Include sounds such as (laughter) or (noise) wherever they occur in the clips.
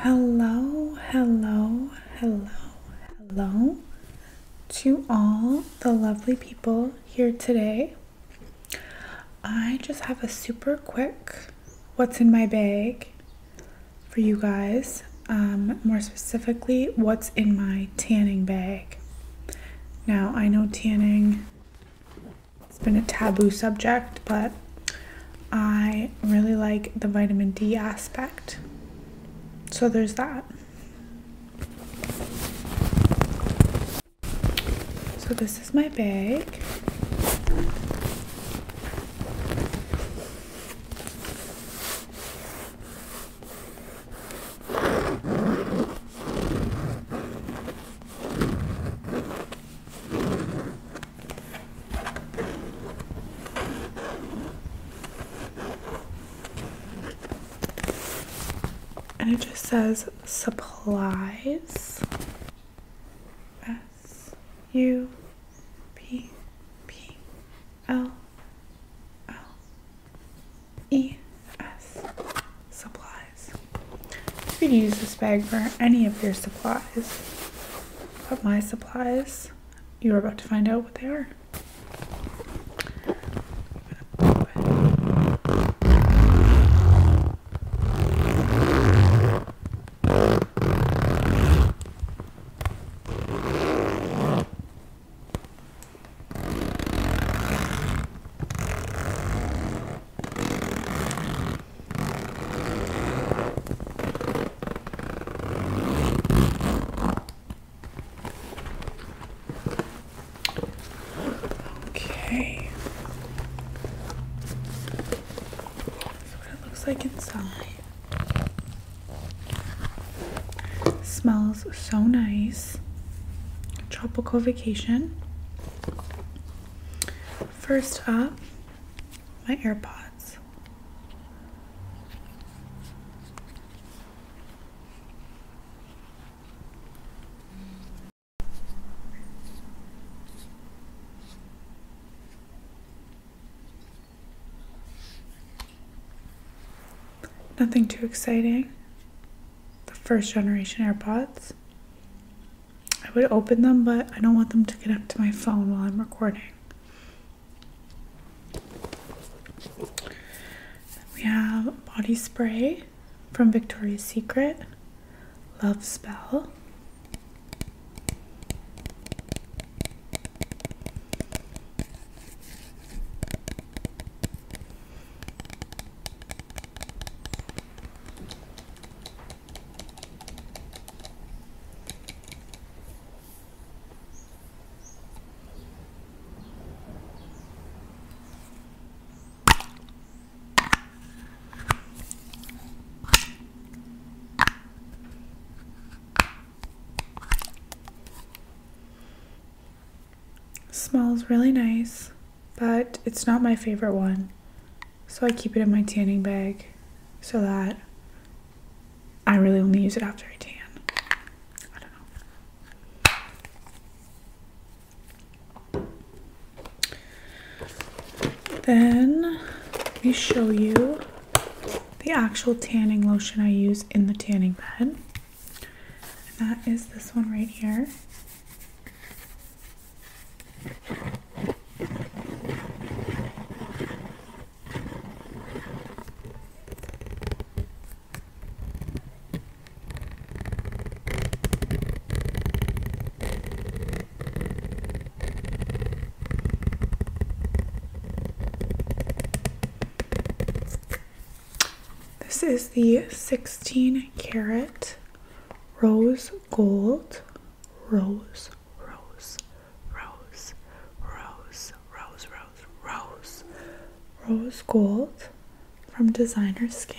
Hello, hello, hello, hello to all the lovely people here today. I just have a super quick what's in my bag for you guys. Um, more specifically, what's in my tanning bag. Now, I know tanning it's been a taboo subject, but I really like the vitamin D aspect. So there's that. So this is my bag. And it just says supplies. S U P P L L E S supplies. You could use this bag for any of your supplies, but my supplies, you're about to find out what they are. Okay. This is what it looks like inside. Smells so nice. Tropical vacation. First up, my AirPods. Nothing too exciting. The first generation AirPods. I would open them, but I don't want them to connect to my phone while I'm recording. We have body spray from Victoria's Secret, Love Spell. Smells really nice but it's not my favorite one. So I keep it in my tanning bag so that I really only use it after I tan. Then let me show you the actual tanning lotion I use in the tanning bed. And that is this one right here. This is the 16 carat rose gold, rose, rose, rose, rose, rose, rose, rose, rose gold from designer skin.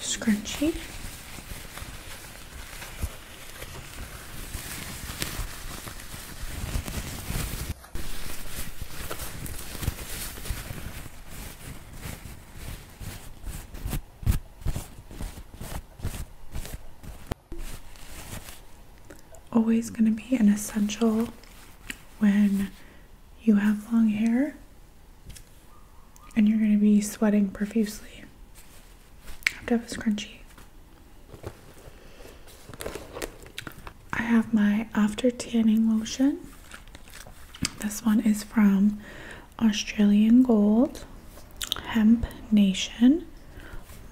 scrunchie. Always going to be an essential when you have long hair and you're going to be sweating profusely. I have to have a scrunchie. I have my after tanning lotion. This one is from Australian Gold Hemp Nation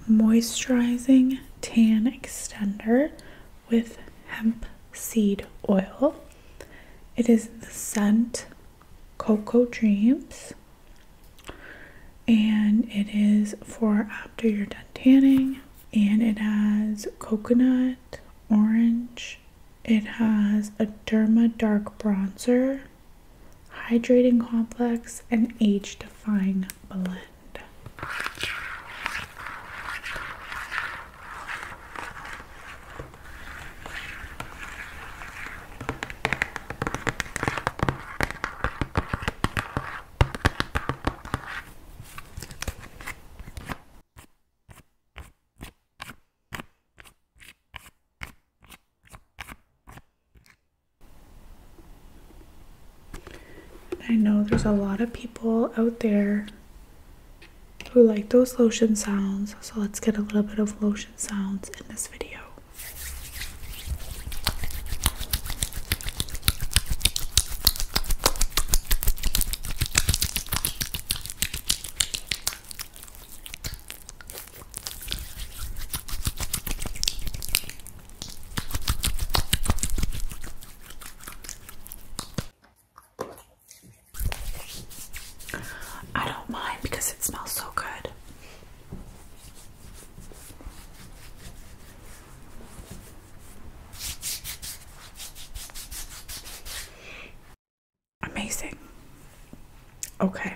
Moisturizing Tan Extender with Hemp Seed Oil. It is the scent Coco Dreams. And it is for after you're done tanning. And it has coconut, orange. It has a Derma Dark Bronzer, Hydrating Complex, and Age Defying Blend. I know there's a lot of people out there who like those lotion sounds. So let's get a little bit of lotion sounds in this video. I don't mind because it smells so good. Amazing. Okay.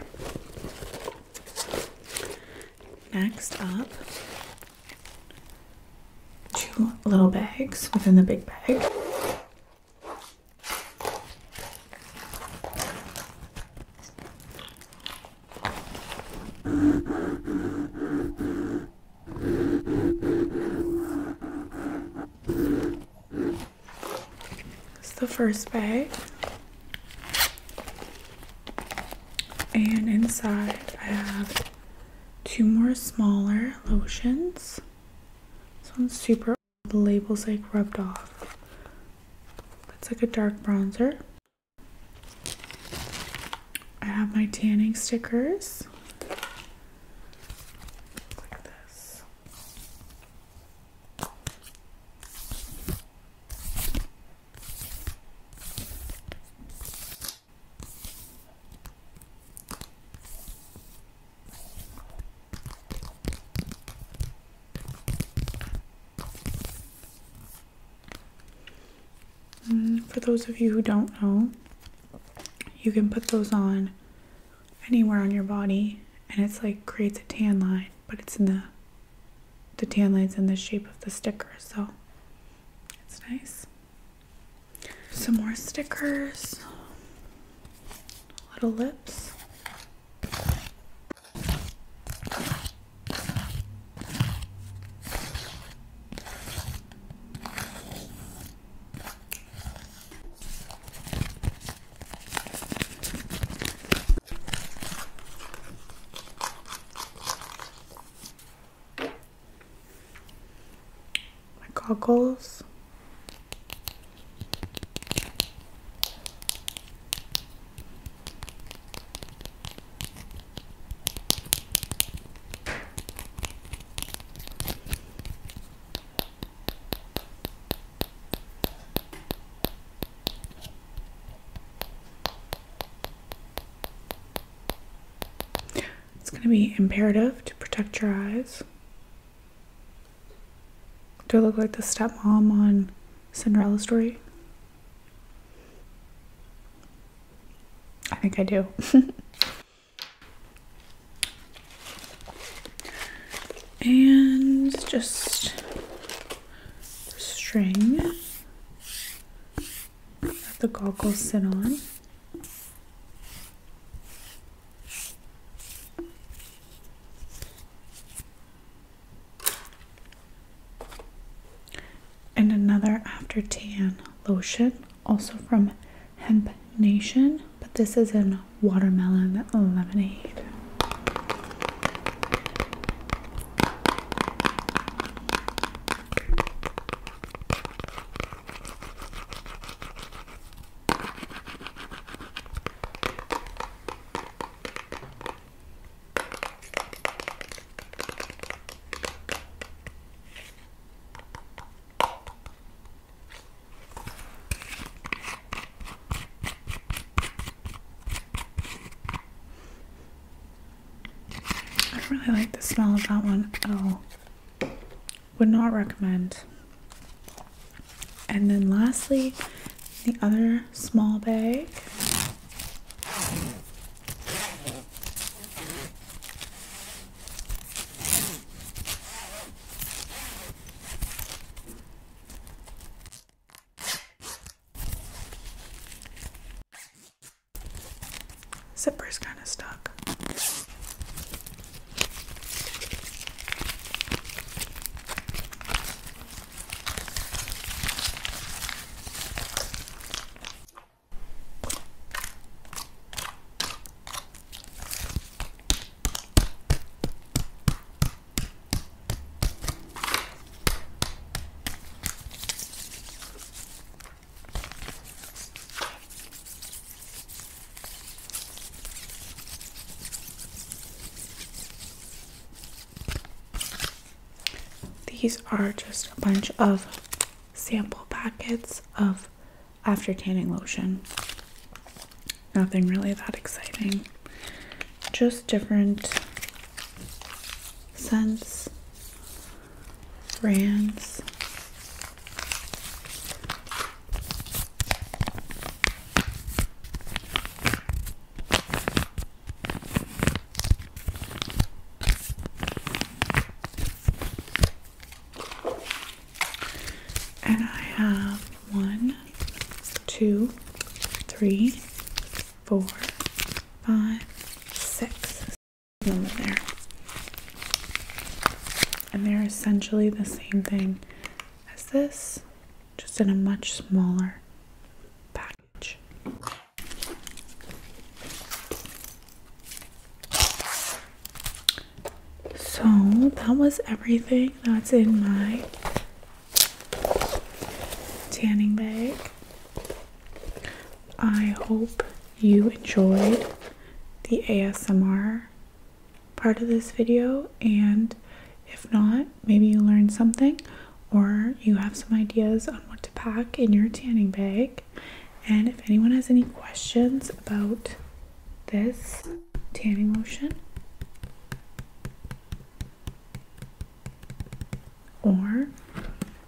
Next up, two little bags within the big bag. It's the first bag. And inside I have two more smaller lotions. This one's super old. The label's like rubbed off. That's like a dark bronzer. I have my tanning stickers. Like this. Mm, for those of you who don't know, you can put those on anywhere on your body and it's like creates a tan line, but it's in the the tan line's in the shape of the sticker, so it's nice. Some more stickers. Little lips my goggles. It's going to be imperative to protect your eyes. Do I look like the stepmom on Cinderella Story? I think I do. (laughs) and just string that the goggles sit on. And another after tan lotion, also from Hemp Nation, but this is in watermelon lemonade. I don't really like the smell of that one. Oh, would not recommend. And then lastly, the other small bag. Zipper's kind of stuck. These are just a bunch of sample packets of after tanning lotion. Nothing really that exciting, just different scents brands. And I have one, two, three, four, five, six. And they're essentially the same thing as this, just in a much smaller package. So that was everything that's in my tanning bag. I hope you enjoyed the ASMR part of this video and if not, maybe you learned something or you have some ideas on what to pack in your tanning bag. And if anyone has any questions about this tanning lotion or